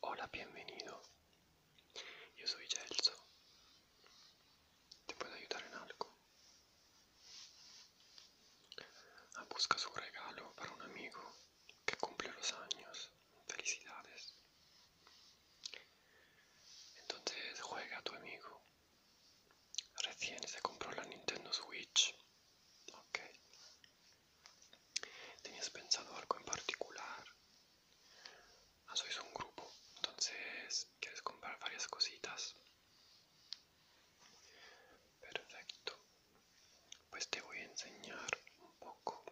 Hola, bienvenido. Yo soy Gelso. ¿Te puedo ayudar en algo? Ah, busca su regalo para un amigo que cumple los años. Felicidades. Entonces juega a tu amigo. Recién se compró la Nintendo Switch. Ok. ¿Tenías pensado algo en particular? Ah, sois un grupo, entonces quieres comprar varias cositas. Perfecto. Pues te voy a enseñar un poco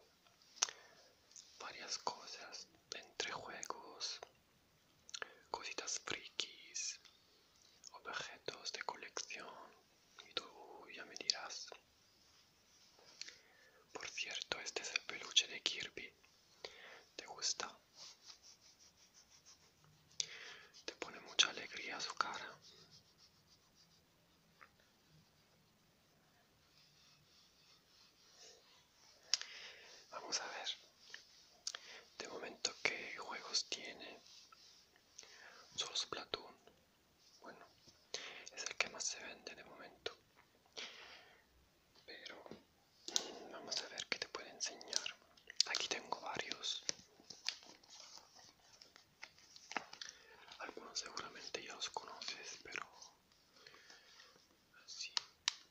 varias cosas entre juegos, cositas frikis, objetos de colección y tú ya me dirás por cierto, este es el peluche de Kirby. ¿Te gusta? Te pone mucha alegría su cara. Vamos a ver. De momento, ¿qué juegos tiene? Solo Splatoon bueno es el que más se vende de momento pero vamos a ver qué te puedo enseñar aquí tengo varios algunos seguramente ya los conoces pero así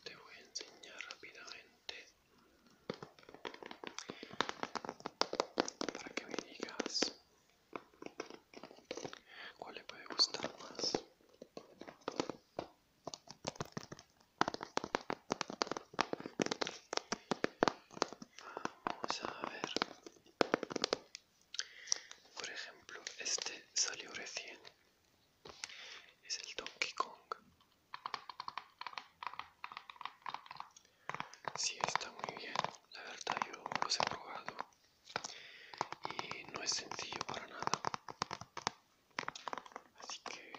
te voy a enseñar rápidamente para que me digas ¿Cuál le puede gustar más? Vamos a ver. Por ejemplo, este salió recién. Es el Donkey Kong si está muy bien. La verdad, yo los he probado y no es sencillo para nada. Así que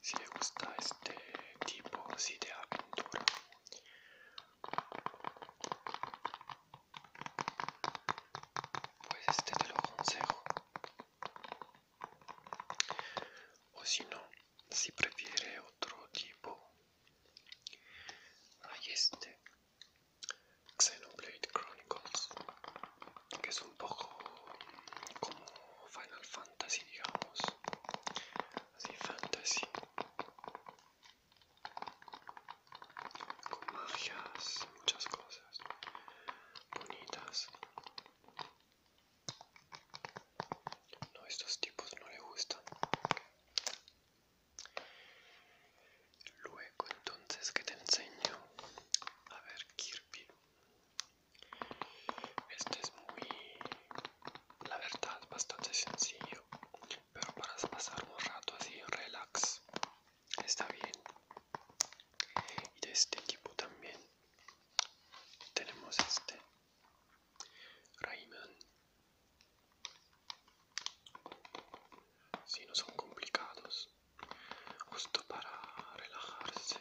si le gusta este tipo así de aventura pues este te lo aconsejo o si no si prefiere otro tipo hay este Xenoblade Chronicles que es un poco como Final Fantasy digamos así fantasy con magias muchas cosas bonitas no, estos tipos no le gustan. Luego entonces que te enseño a ver Kirby. Este es muy, la verdad, bastante sencillo, pero para pasar un rato así relax está bien. Y de este tipo también tenemos este Rayman. Si no son complicados, justo para relajarse.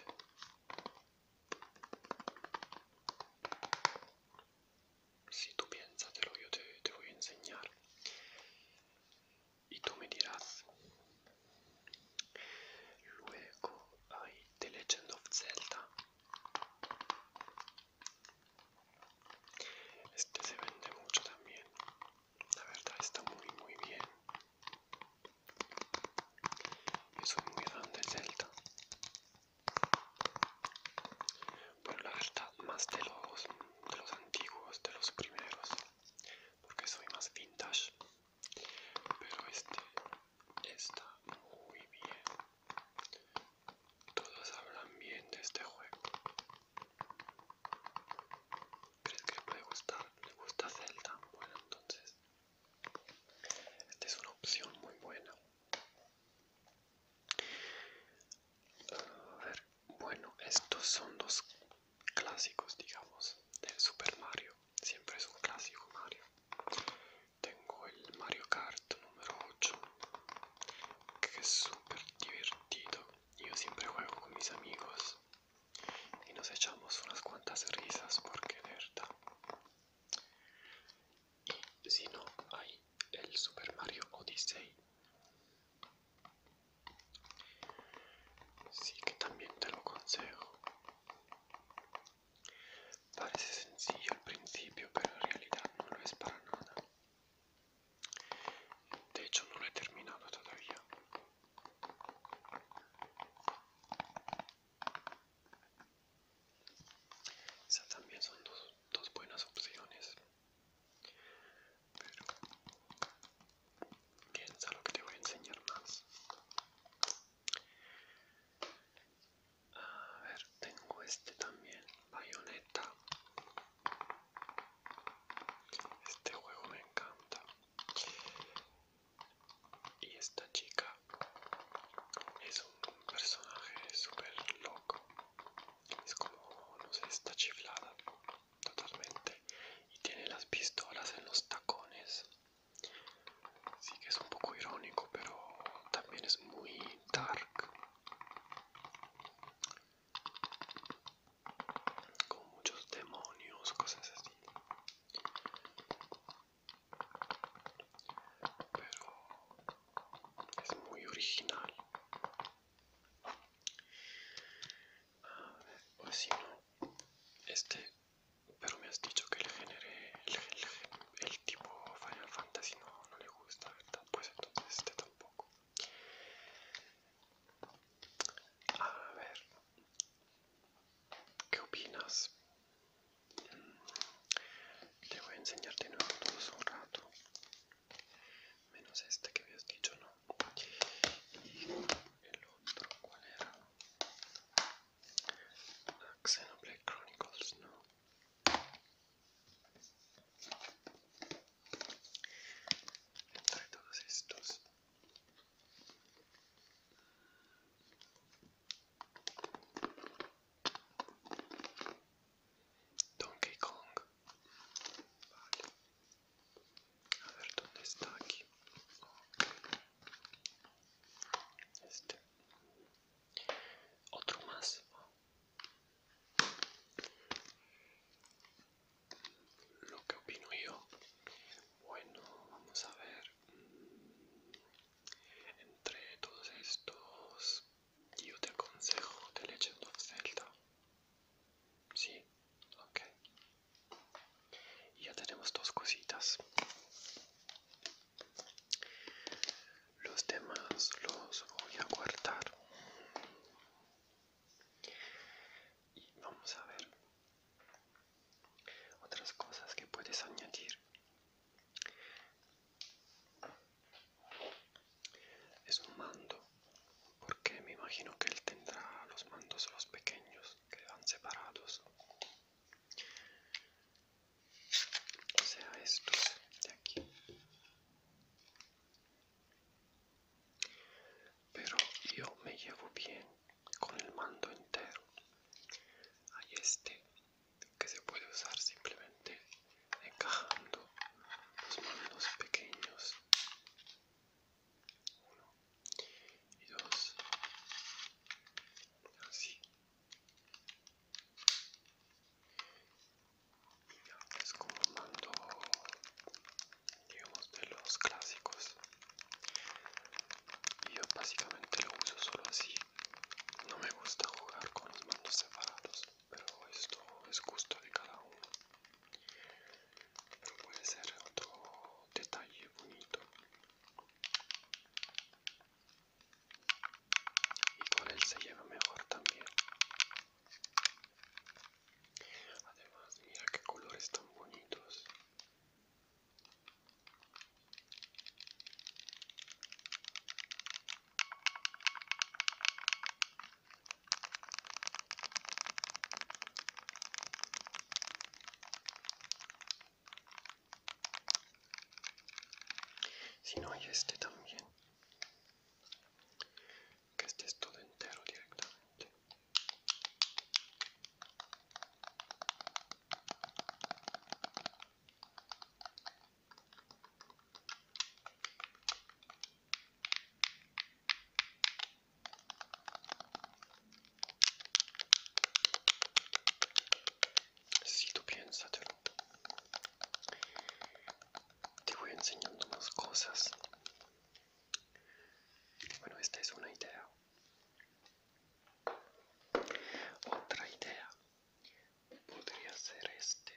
Si tú piénsatelo, yo te, te voy a enseñar. Y tú me dirás. Luego hay The Legend of Zelda. Este se vende mucho también. La verdad está muy muy bien. Yo soy muy fan del Delta. Bueno, la verdad más de los de los antiguos, de los primeros, porque soy más vintage. Pero este está muy bien. Todos hablan bien de este juego. ¿Crees que le puede gustar? ¿Le gusta Zelda? Bueno, entonces, esta es una opción muy buena. A ver, bueno, estos son dos clásicos, digamos, del Super Mario. Siempre es un clásico Mario tengo el Mario Kart número 8 que es súper divertido yo siempre juego con mis amigos y nos echamos unas cuantas risas porque es verdad y si no hay el Super Mario Odyssey sí que también te lo aconsejo Parece sencillo al principio, pero en realidad no lo es para nada. De hecho, no lo he terminado todavía. también son dos, dos buenas opciones. Pero piensa lo que te voy a enseñar más. A ver, tengo este también, Bayonetta. Este juego me encanta. Y esta chica es un personaje súper loco. Es como, no sé, está chiflada totalmente. Y tiene las pistolas en los tacones. Sí que es un poco irónico, pero también es muy dark. Con muchos demonios, cosas así. Pero es muy original. A ver, pues no, este pero me has dicho que el género, el, el, tipo Final Fantasy no, le gusta, ¿verdad? Pues entonces este tampoco. A ver, ¿qué opinas? Mm, te voy a enseñar de nuevo todos un rato. Menos este que me has dicho, ¿no? el otro, ¿cuál era? Xenoblade Chronicles now. Entre todos estos. Donkey Kong. A ver dónde está aquí. Este. otro más lo que opino yo bueno vamos a ver entre todos estos yo te aconsejo The Legend of Zelda sí ok y ya tenemos dos cositas los demás los voy a guardar y vamos a ver otras cosas que puedes añadir es un mando porque me imagino que él tendrá los mandos los pequeños que van separados o sea estos de aquí pero yo me llevo bien con el mando entero hay este que se puede usar simplemente encajando los mandos pequeños y dos así es como mando digamos de los clásicos yo básicamente lo uso solo así no me gusta jugar con los mandos separados pero esto es gusto de cada uno pero puede ser otro detalle bonito y con él se lleva mejor también además mira qué colores tan bonitos si no hay este también, que este es todo entero directamente. Si tú piénsatelo, te voy enseñando unas cosas. Bueno, esta es una idea. Otra idea podría ser este,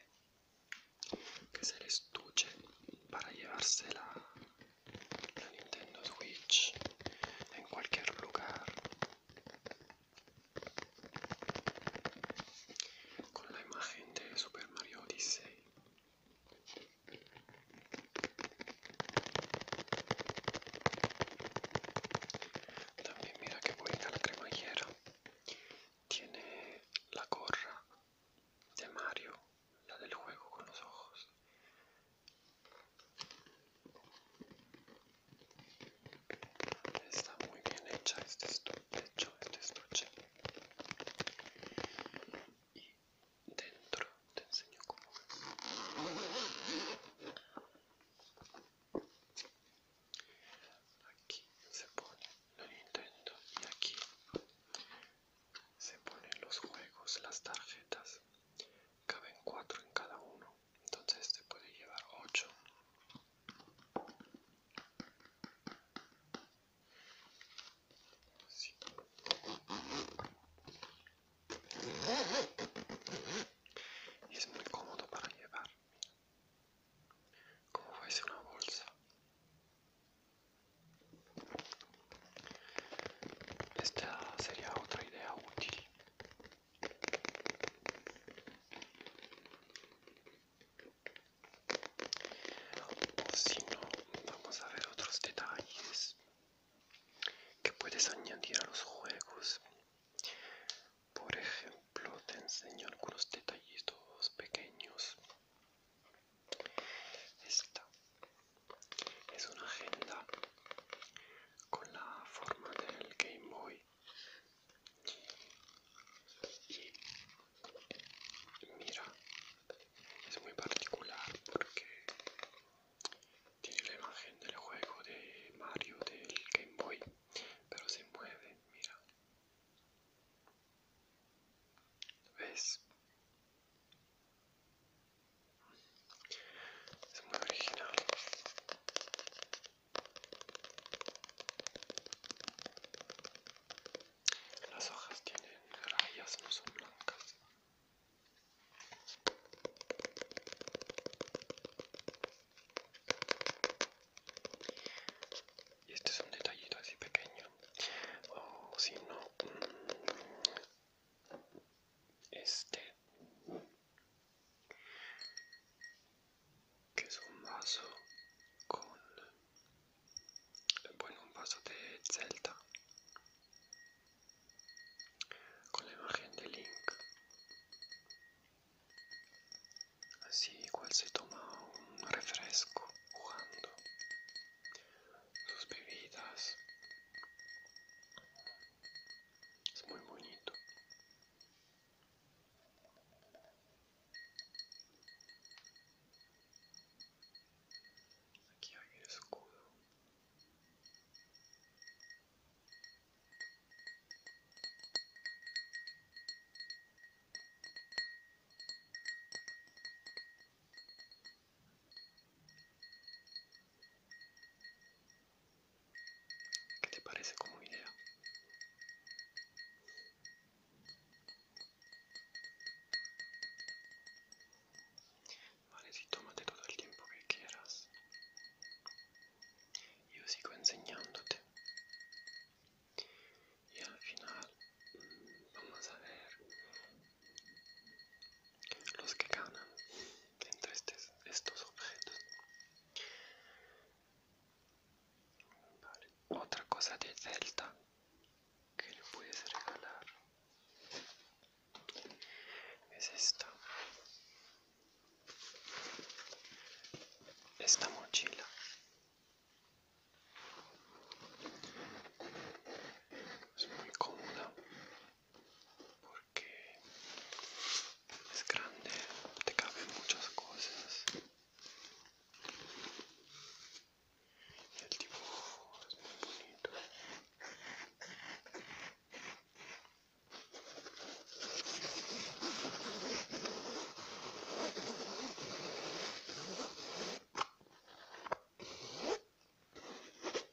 que se le estuche para llevársela la Nintendo Switch en cualquier lugar con la imagen de Super Mario Odyssey. También mira que bonita la cremallera. Tiene la gorra de Mario, la del juego con los ojos. Está muy bien hecha este estuche, este estuche. Y dentro te enseño cómo Aquí se pone la Nintendo y aquí se ponen los juegos, las tarjetas caben cuatro en cada uno entonces este puede llevar ocho, y es muy cómodo para llevar como fuese una bolsa esta sería otra idea útil. si no, vamos a ver otros detalles que puedes añadir a los juegos. Por ejemplo, te enseño algunos detallitos pequeños. Esta es una agenda con la forma del Game Boy y mira es muy particular porque tiene la imagen del juego de Mario del Game Boy pero se mueve mira ves es muy Las hojas tienen rayas, no son blancas. Y este es un detallito así pequeño. oh, si no, mm, este que es un vaso con bueno un vaso de Zelda con la imagen de Link así igual se toma un refresco jugando sus bebidas. Es muy bonito. Aquí hay el escudo. ¿Qué te parece como idea? Vale, si tómate todo el tiempo que quieras. Yo sigo enseñándote. Y al final mm, vamos a ver los que ganan entre de estos objetos. Otra cosa de Zelda que le puedes regalar es esta. Esta mochila es muy cómoda porque es grande, te caben muchas cosas y el tipo es muy bonito.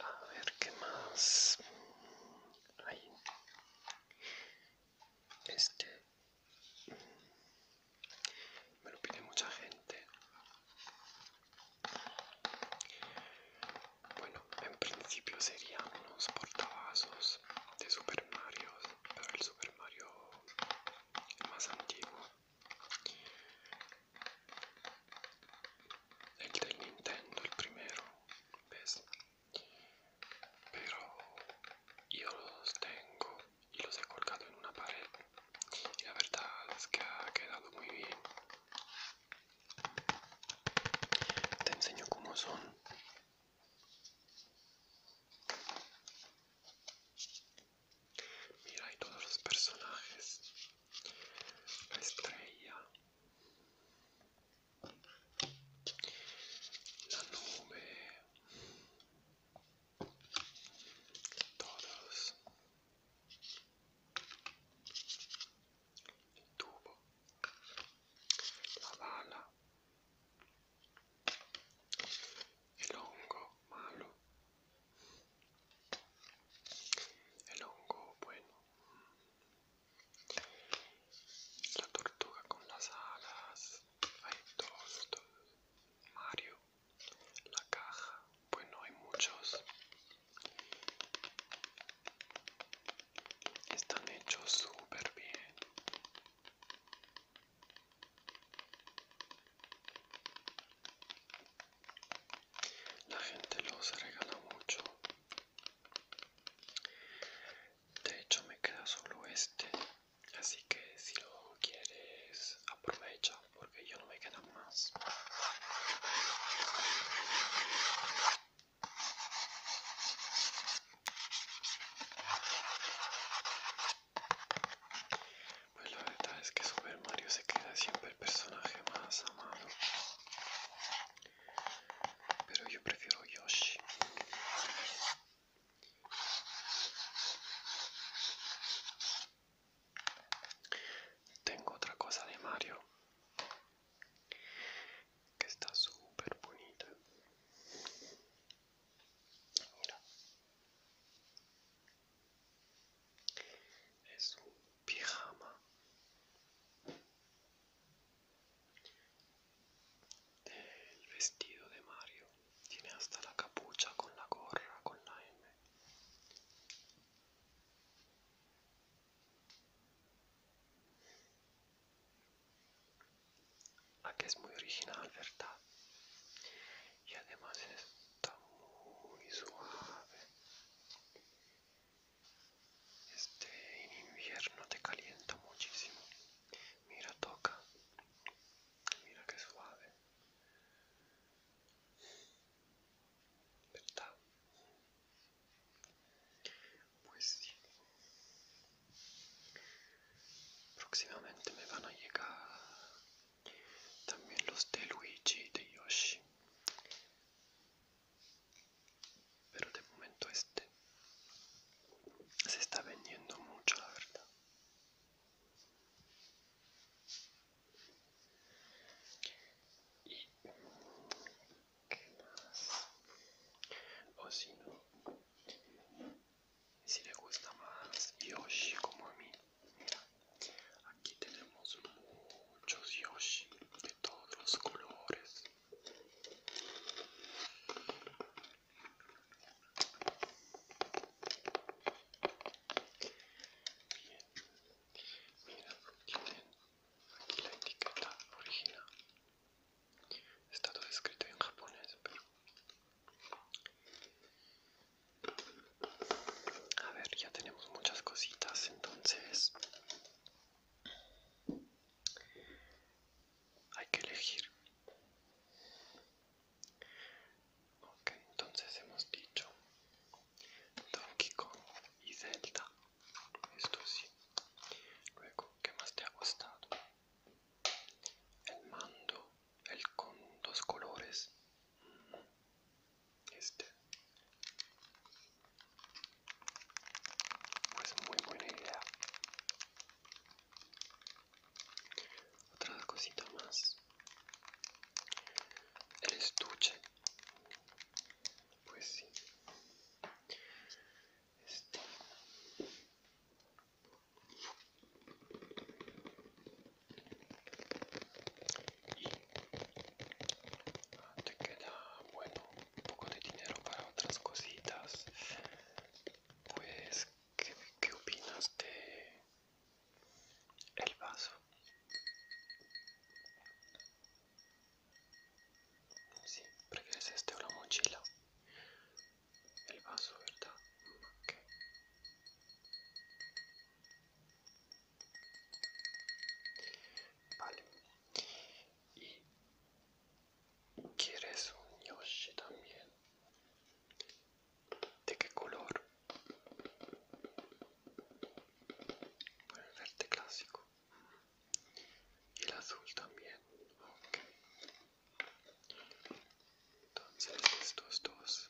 A ver qué más hay. Este me lo pide mucha gente. Bueno, en principio serían unos portavasos de Super Mario, pero el Super Mario más antiguo el del Nintendo, el primero, ¿ves? Pero yo los tengo y los he colgado en una pared y la verdad es que ha quedado muy bien. Te enseño cómo son. Mira, hay todos los personajes. La estrella, La nube Todos Il tubo La bala E longo malo El hongo, bueno. La tortuga con las alas. Hay todos, Mario. La caja. Bueno, hay muchos. Están hechos súper bien la gente los regala mucho de hecho me queda solo este así que si lo quieres aprovecha porque yo no me queda más pues la verdad es que Super Mario se queda siempre bel personaggio Masa Amado però io preferisco Yoshi tengo otra cosa de Mario que está súper bonita mira es un Pirama il vestito di Mario tiene hasta la capucha con la gorra con la M Ah, que es muy original, ¿verdad? Y además está muy suave. Este invierno te calienta muchísimo. Mira, toca. Mira que suave. ¿Verdad? Pues sí. Próximamente me van a llegar también los de Luigi y de Yoshi pero de momento este se está vendiendo mucho la verdad y qué más o si no si le gusta más Yoshi como a mí Aquí tenemos muchos Yoshi de todos los colores. Bien, mira, tienen aquí la etiqueta original. Está todo escrito en japonés, pero a ver, ya tenemos muchas cositas, entonces hay que elegir. Ok, entonces hemos dicho Donkey Kong y Zelda. Esto sí. Luego, ¿qué más te ha gustado? El mando, el con dos colores. Este. Pues muy buena idea. Otra cosita más. El estuche. Pues sí. Este y te queda bueno un poco de dinero para otras cositas pues qué, opinas de el vaso si sí, prefieres este o la mochila el vaso verdad Vale. ¿Y quieres un Yoshi también? ¿De qué color? el verde clásico. Y el azul también. Ok. Entonces estos dos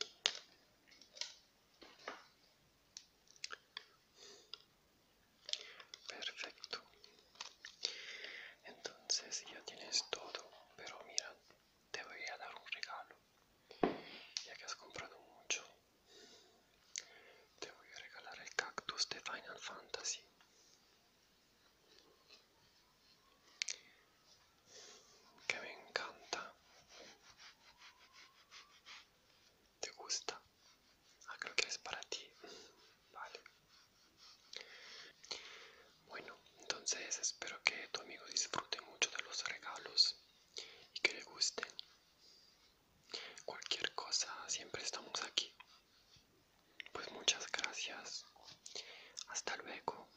Perfecto. Entonces ya tienes todo, pero mira, te voy a dar un regalo. Ya que has comprado mucho, te voy a regalar el cactus de Final Fantasy que me encanta. ¿Te gusta? Ah, creo que es para ti. Vale. Bueno, entonces espero que tu amigo disfrute mucho de los regalos y que le gusten. Cualquier cosa, siempre estamos aquí. Pues muchas gracias. Hasta luego.